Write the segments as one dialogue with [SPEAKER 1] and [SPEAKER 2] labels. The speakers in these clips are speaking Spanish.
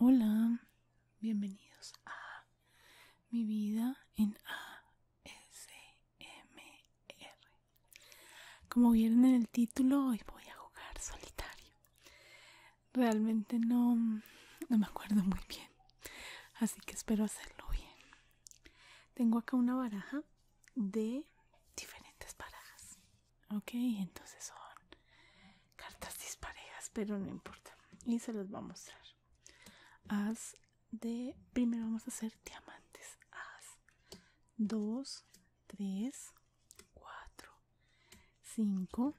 [SPEAKER 1] Hola, bienvenidos a mi vida en ASMR. Como vieron en el título, hoy voy a jugar solitario. Realmente no, no me acuerdo muy bien así que espero hacerlo bien tengo acá una baraja de diferentes barajas ok entonces son cartas disparejas pero no importa y se los va a mostrar as de primero vamos a hacer diamantes as 2 3 4 5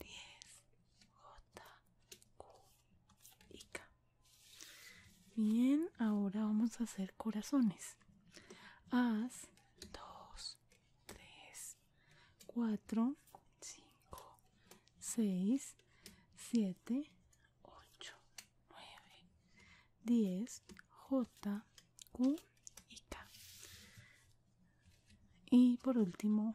[SPEAKER 1] 10, J, Q y K. Bien, ahora vamos a hacer corazones. Haz 2, 3, 4, 5, 6, 7, 8, 9, 10, J, Q y K. Y por último,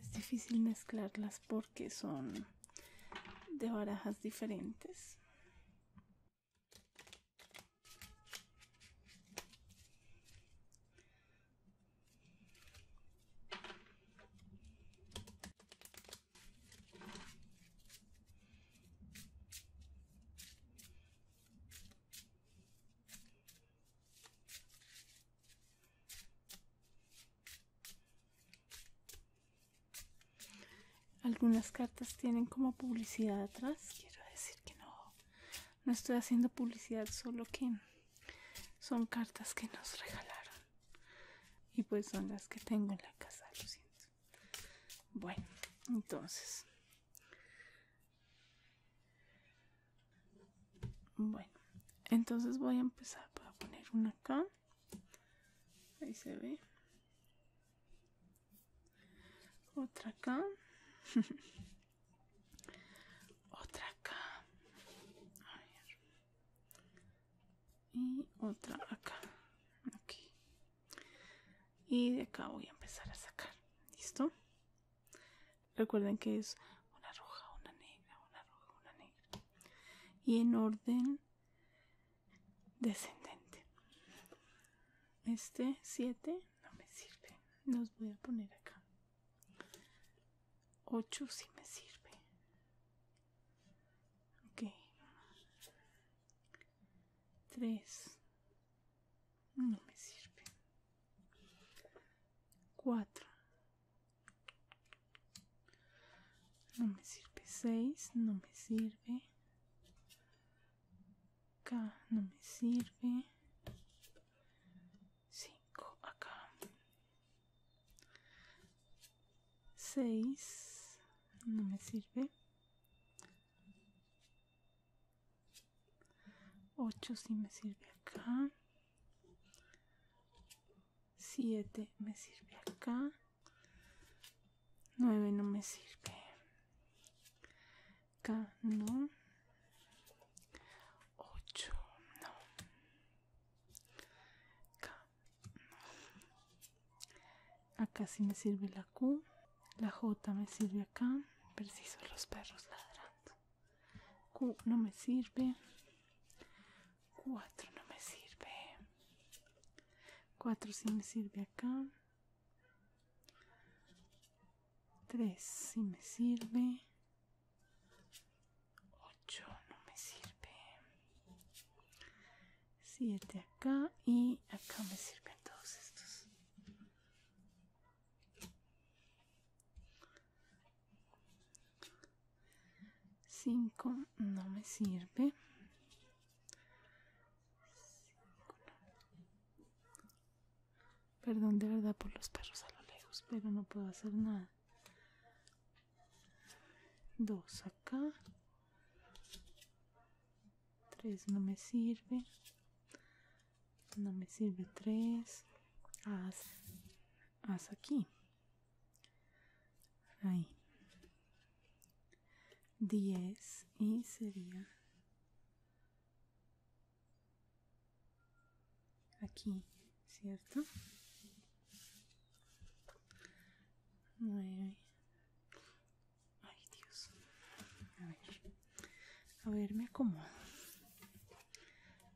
[SPEAKER 1] es difícil mezclarlas porque son de barajas diferentes algunas cartas tienen como publicidad atrás. Quiero decir que no, no estoy haciendo publicidad, solo que son cartas que nos regalaron. Y pues son las que tengo en la casa, lo siento. Bueno, entonces bueno, entonces voy a empezar. a poner una acá. Ahí se ve. Otra acá. otra acá. Y otra acá. Aquí. Y de acá voy a empezar a sacar. ¿Listo? Recuerden que es una roja, una negra, una roja, una negra. Y en orden descendente. Este 7 no me sirve. Los voy a poner acá. 8 sí me sirve. Ok. 3 no me sirve. 4 no me sirve 6 no me sirve acá no me sirve 5 acá 6 no me sirve 8 si sí me sirve acá 7 me sirve acá 9 no me sirve acá no 8 no K no acá sí me sirve la Q la J me sirve acá preciso los perros ladrando Q no me sirve. 4 no me sirve. 4 sí me sirve acá. 3 sí me sirve. 8 no me sirve. 7 acá y acá me sirven todos estos. 5 no me sirve. Perdón de verdad por los perros a lo lejos, pero no puedo hacer nada. dos acá. 3 no me sirve no me sirve 3 haz, haz aquí ahí 10 y sería aquí cierto 9 ay dios a ver a ver me acomodo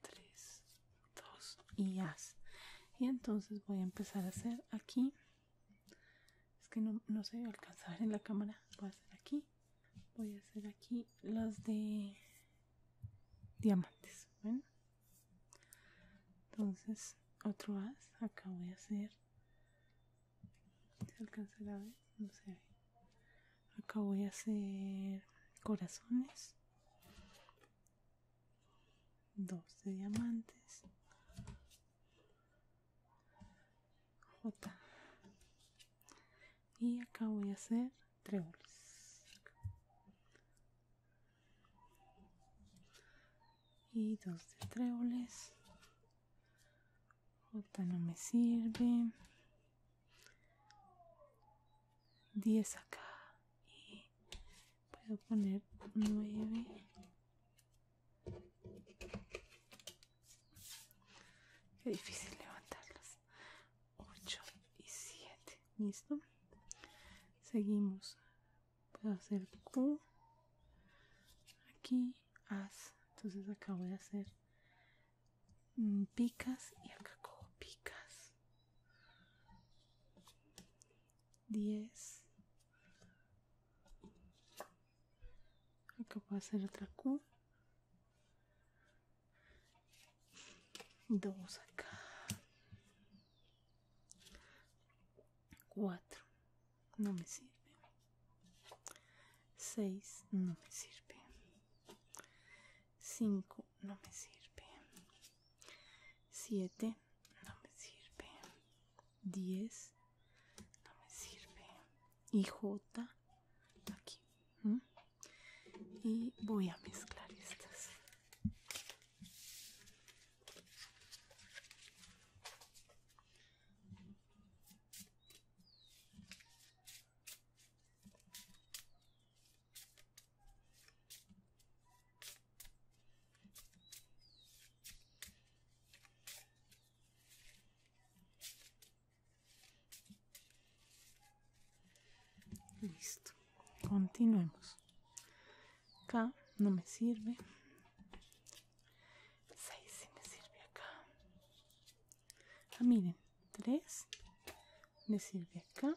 [SPEAKER 1] 3 2 y as. y entonces voy a empezar a hacer aquí es que no, no se alcanza a ver en la cámara voy a hacer aquí voy a hacer aquí las de diamantes entonces otro as. acá voy a hacer se a ver no se acá voy a hacer corazones 2 de diamantes J y acá voy a hacer tréboles y dos de tréboles J no me sirve 10 acá y Puedo poner 9 qué difícil levantarlas 8 y 7 listo seguimos puedo hacer q aquí as entonces acá voy a hacer mm, picas y acá cojo picas 10 acá a hacer otra Q 2 acá 4 no me sirve 6 no me sirve 5 no me sirve. siete no me sirve. diez no me sirve. Y J aquí. Y voy a mezclar estas. Listo, continuemos. Acá no me sirve. 6 sí me sirve acá. Ah, miren, 3 me sirve acá.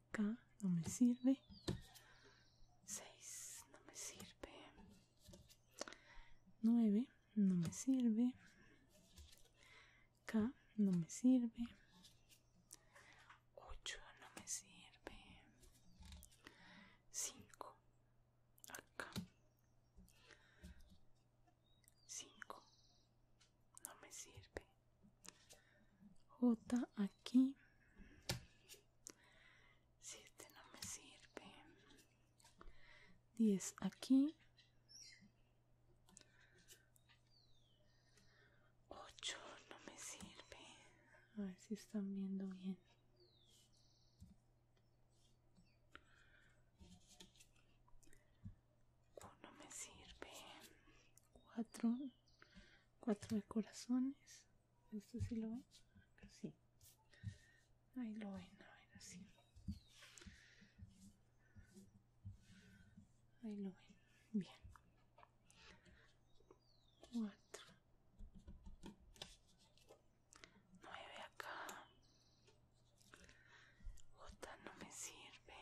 [SPEAKER 1] K no me sirve. 6 no me sirve. 9 no me sirve. K no me sirve. 8 no me sirve. 5 acá. 5 no me sirve J aquí si este no me sirve 10 aquí 8 no me sirve a ver si están viendo bien Oh, no me sirve. Cuatro. Cuatro de corazones. ¿Esto sí lo ven? Casi. Ahí lo ven, así. Ahí lo ven. Bien. Cuatro. Nueve acá. Otra no me sirve.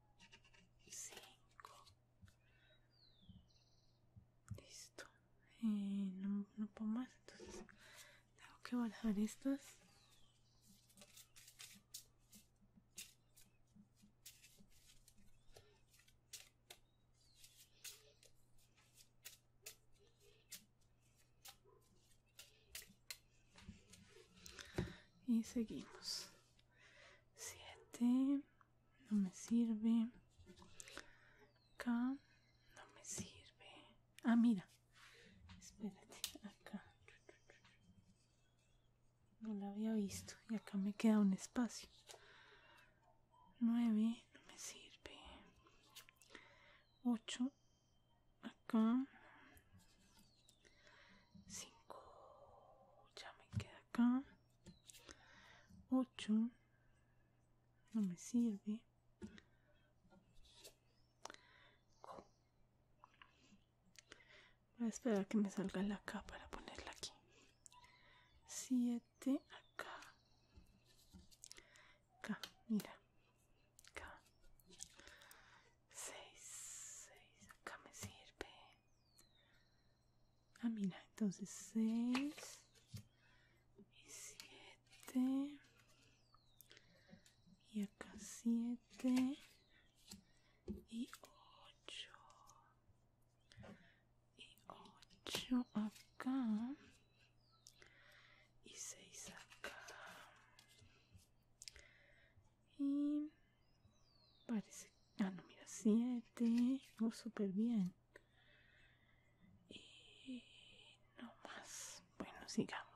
[SPEAKER 1] 5 listo eh, no, no puedo más entonces tengo que bajar estas y seguimos Siete, no me sirve acá no me sirve ah mira espérate acá no la había visto y acá me queda un espacio nueve, no me sirve ocho, acá 5 ya me queda acá 8 no me sirve voy a esperar que me salga la acá para ponerla aquí 7 acá mira 6, 6, acá me sirve. Ah, mira, entonces 6 y 7. Y acá 7 y 8. Y 8 acá. Y 6 acá. Y parece... Ah, no, mira, 7. no súper bien. Y no más. Bueno, sigamos.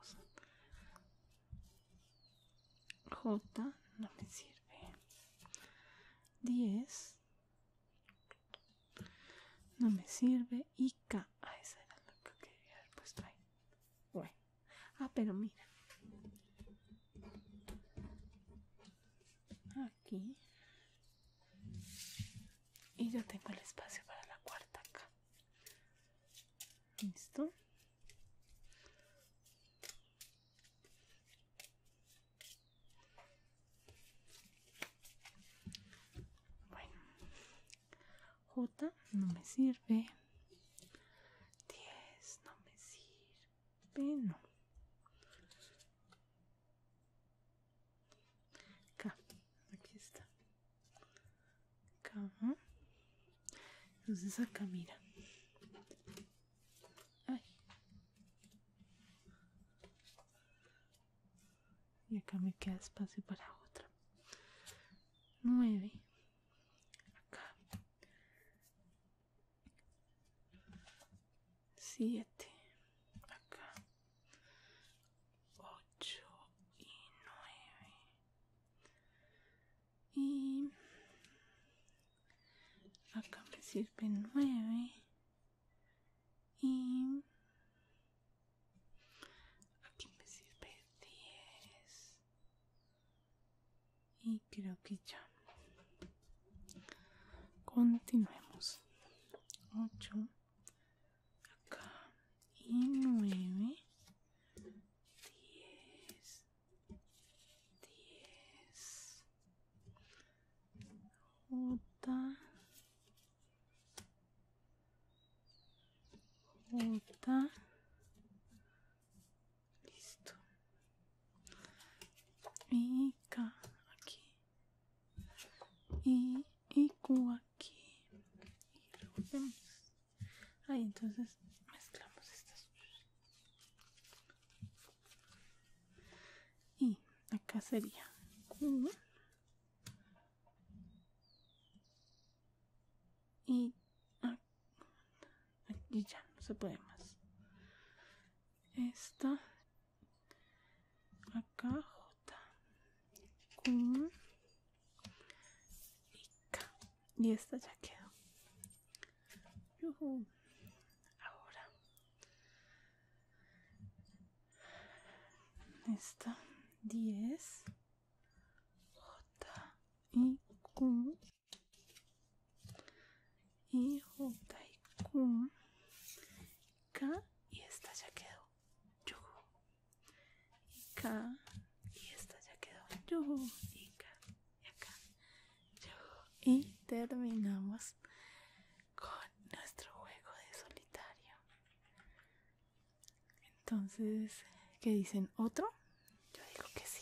[SPEAKER 1] J no me sirve. 10. No me sirve. Y K. Ah, esa era la que quería haber puesto ahí. Bueno. Ah, pero mira. Aquí. Y yo tengo el espacio para la cuarta acá. ¿Listo? Bueno. J no me sirve. 10 no me sirve, no. Acá, aquí está. Acá. Entonces acá mira. Y acá me queda espacio para otra. Nueve 7 acá 8 y 9 y acá me sirve 9 y aquí me sirve 10 y creo que ya continuemos 8 acá y 9 10 10 J J Listo. Y K aquí. Y, Q aquí. Y revolvemos. Ahí entonces mezclamos estas. Y acá sería y, ah, aquí ya no se puede más. Esta. Acá J. Q. Y Y esta ya quedó. Ahora. Esta. 10. J. Y Q y J y y esta ya quedó y esta ya quedó y acá y terminamos con nuestro juego de solitario entonces, ¿qué dicen? ¿Otro? Yo digo que sí.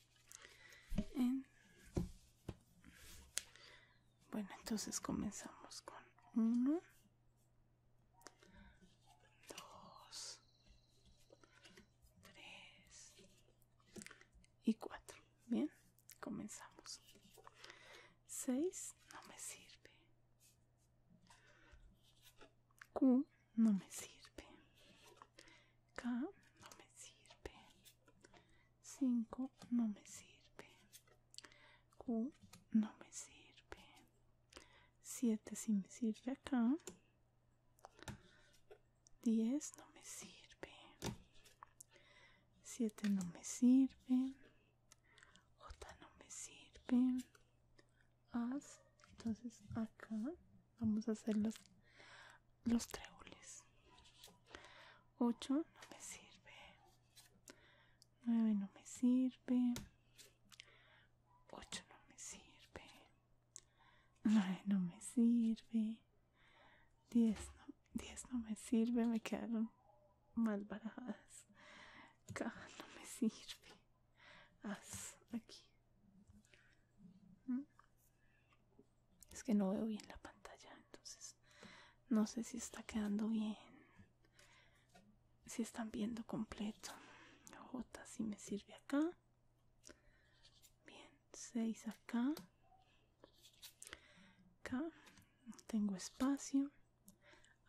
[SPEAKER 1] Bueno, entonces comenzamos con 1, 2, 3 y 4. Bien, comenzamos. 6 no me sirve. Q no me sirve. K no me sirve 5 no me sirve q no me sirve 7 si me sirve acá 10 no me sirve 7 no me sirve j no me sirve as entonces acá vamos a hacer las los treules. 8 no me sirve. 9 no me sirve. 8 no me sirve. 9 no me sirve. 10 no, 10 no me sirve. Me quedaron mal barajadas. Caja no me sirve. Haz aquí. ¿Mm? Es que no veo bien la pantalla, entonces no sé si está quedando bien. Si están viendo completo. J si me sirve acá. Bien, 6 acá. Acá. No tengo espacio.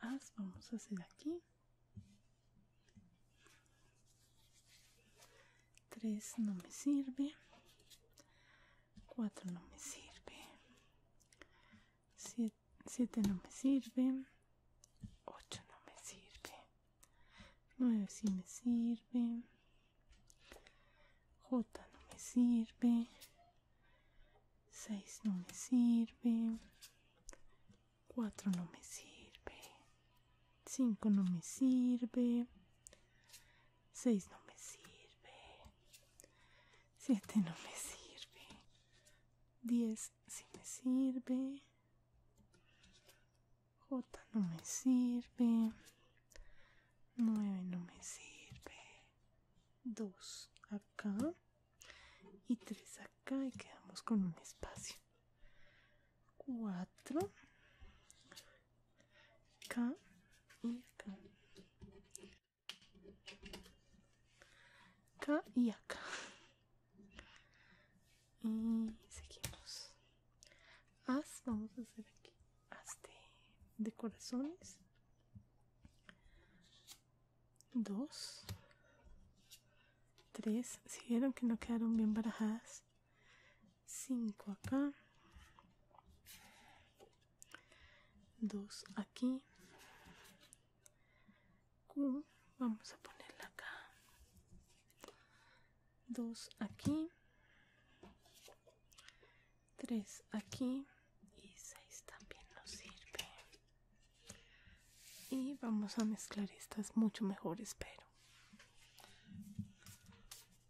[SPEAKER 1] As vamos a hacer aquí. 3 no me sirve 4 no me sirve 7, no me sirve 8 no me sirve 9 sí me sirve J no me sirve 6 no me sirve 4 no me sirve 5 no me sirve. 6 no me sirve. 7 no me sirve. 10 sí me sirve. J no me sirve. 9 no me sirve. 2 acá. Y 3 acá. Y quedamos con un espacio. 4 acá y mm, acá y acá y seguimos as vamos a hacer aquí as de, corazones dos tres si vieron que no quedaron bien barajadas 5 acá 2 aquí vamos a ponerla acá 2 aquí 3 aquí y 6 también nos sirve y vamos a mezclar estas mucho mejor espero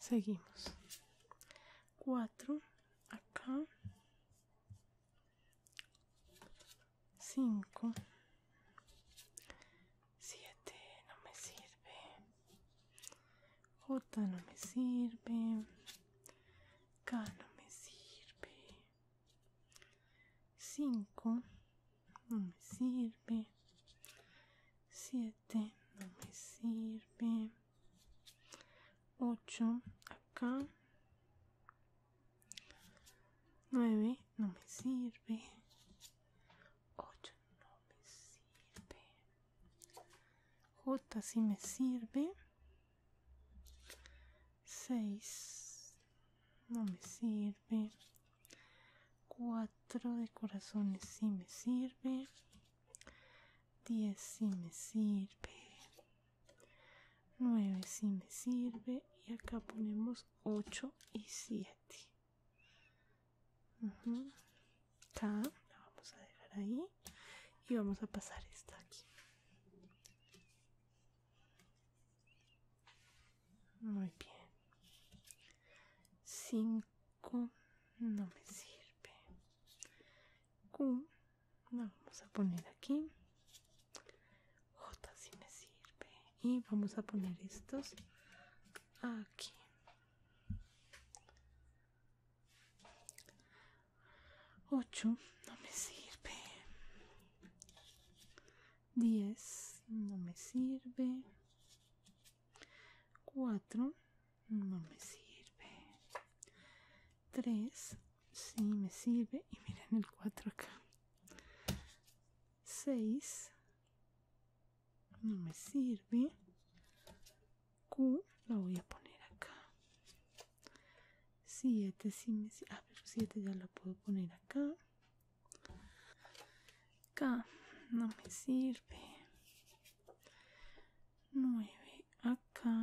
[SPEAKER 1] Seguimos. 4 acá. 5. 7 no me sirve. J no me sirve. K no me sirve. 5 no me sirve 7 no me sirve 8 acá 9 no me sirve 8 no me sirve J si sí me sirve 6 no me sirve 4 de corazones sí me sirve 10 sí me sirve 9 si me sirve y acá ponemos 8 y 7 uh la vamos a dejar ahí y vamos a pasar esta aquí muy bien. Cinco no me sirve. Q no vamos a poner aquí. J si me sirve. Y vamos a poner estos aquí. 8 no me sirve 10 no me sirve 4 no me sirve 3 si me sirve y miren el 4 acá 6 no me sirve Q la voy a poner acá 7 este si me ah pero 7 ya la puedo poner acá acá no me sirve 9 acá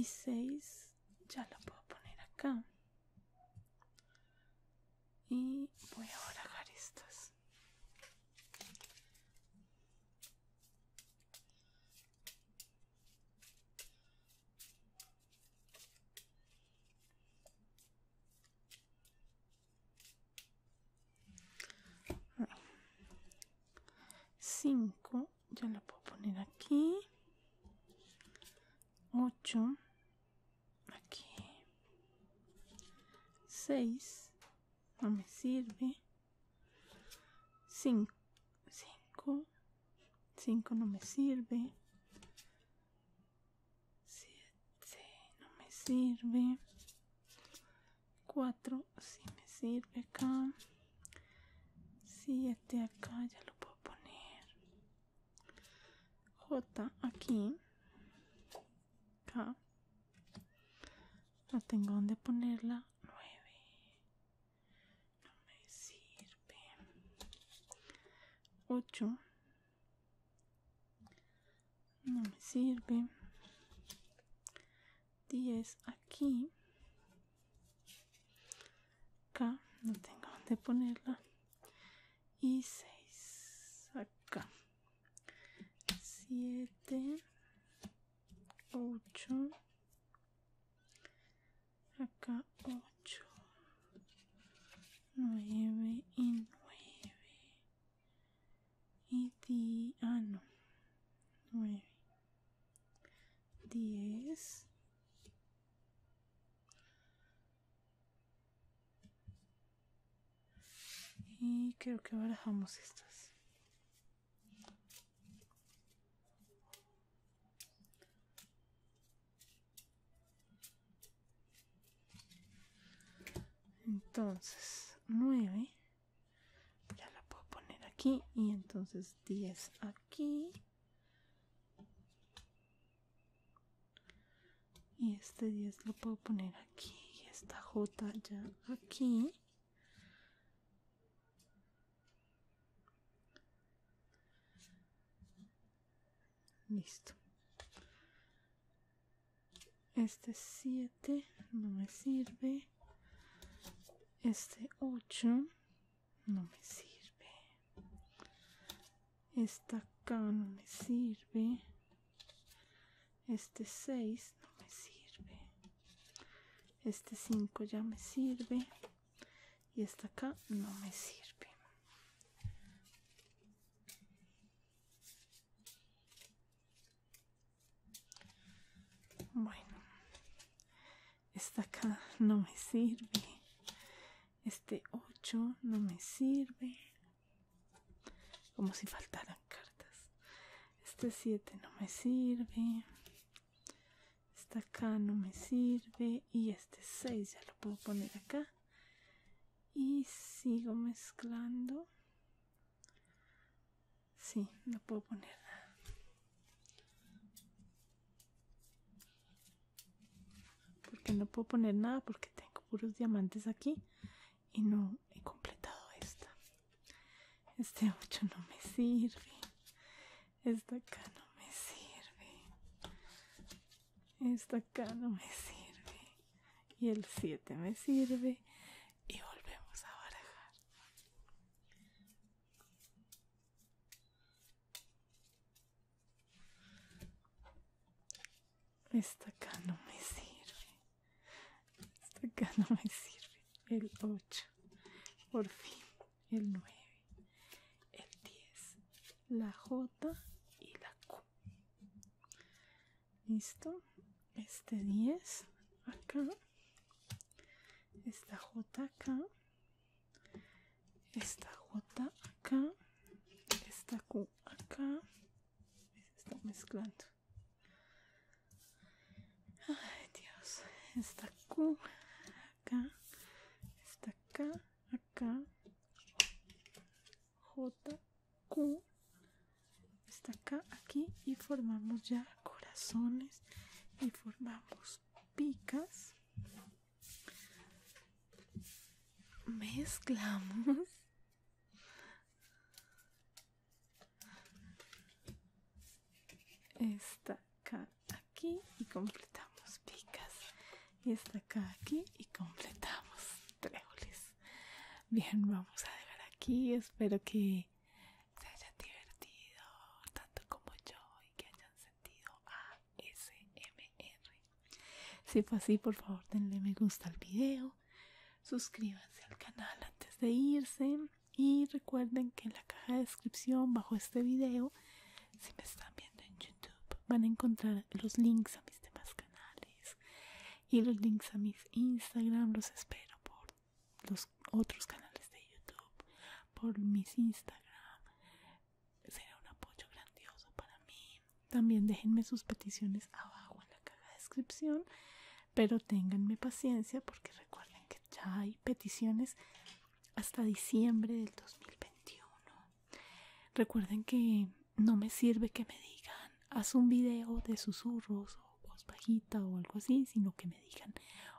[SPEAKER 1] y 6 ya la puedo poner acá y voy a barajar estas cinco, ya la puedo poner aquí, ocho, aquí, seis, no me sirve. 5. 5. 5 no me sirve. 7 no me sirve. 4 sí me sirve acá. 7 acá ya lo puedo poner. J aquí. Acá. No tengo dónde ponerla. 9. No me sirve. 8. No me sirve. 10 aquí. Acá. No tengo dónde ponerla. Y 6 acá. 7. 8 acá 8 9 y 9 y 10 ah no 9 10 y creo que barajamos estas entonces, nueve, Ya la puedo poner aquí. Y entonces diez aquí. Y este diez lo puedo poner aquí. Y esta J ya aquí. Listo. Este 7 no me sirve. Este 8 no me sirve. Esta acá no me sirve. Este 6 no me sirve. Este 5 ya me sirve. Y esta acá no me sirve. Bueno, esta acá no me sirve. Este 8 no me sirve. Como si faltaran cartas. Este 7 no me sirve. Esta acá no me sirve. Y este 6 ya lo puedo poner acá. Y sigo mezclando. Sí, no puedo poner nada. Porque no puedo poner nada porque tengo puros diamantes aquí y no he completado esta. Este 8 no me sirve. Esta acá no me sirve. Esta acá no me sirve. Y el siete me sirve. Y volvemos a barajar. Esta acá no me sirve este acá no me sirve. El 8. Por fin. El 9. El 10. La J y la Q. Listo. Este 10 acá. Esta J acá. Esta J acá. Esta Q acá. está mezclando. Ay, Dios. Está Q. Acá. Está acá. Acá. J. Q. Está acá, aquí. Y formamos ya corazones. Y formamos picas. Mezclamos esta acá aquí y completamos picas y esta acá aquí y completamos tréboles bien vamos a dejar aquí espero que se hayan divertido tanto como yo y que hayan sentido ASMR si fue así por favor denle me gusta al video suscríbanse al canal antes de irse y recuerden que en la caja de descripción bajo este video si me están viendo en youtube van a encontrar los links a mis demás canales y los links a mis instagram los espero por los otros canales de youtube por mis instagram será un apoyo grandioso para mí también déjenme sus peticiones abajo en la caja de descripción pero ténganme paciencia porque recuerden que ya hay peticiones hasta diciembre del 2021 recuerden que no me sirve que me digan haz un video de susurros o voz bajita o algo así sino que me digan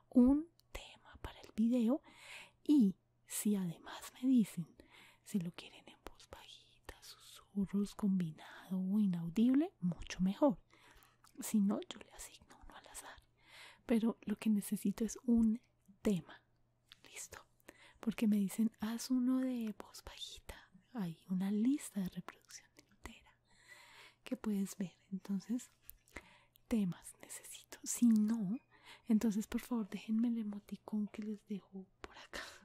[SPEAKER 1] un tema para el video y si además me dicen si lo quieren en voz bajita susurros combinado o inaudible mucho mejor si no, yo le asigno uno al azar. Pero lo que necesito es un tema. Listo. Porque me dicen, haz uno de voz bajita. Hay una lista de reproducción entera que puedes ver. Entonces, temas necesito. Si no, entonces por favor déjenme el emoticón que les dejo por acá.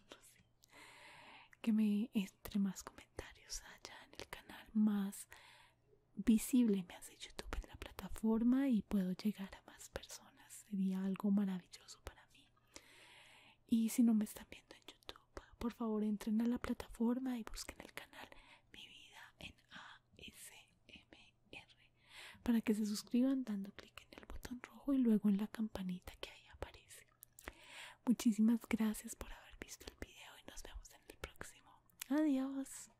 [SPEAKER 1] Que me entre más comentarios haya en el canal más visible me hace youtube en la plataforma y puedo llegar a más personas sería algo maravilloso para mí y si no me están viendo en youtube por favor entren a la plataforma y busquen el canal mi vida en asmr para que se suscriban dando clic en el botón rojo y luego en la campanita que ahí aparece Muchísimas gracias por haber visto el video y nos vemos en el próximo. Adiós.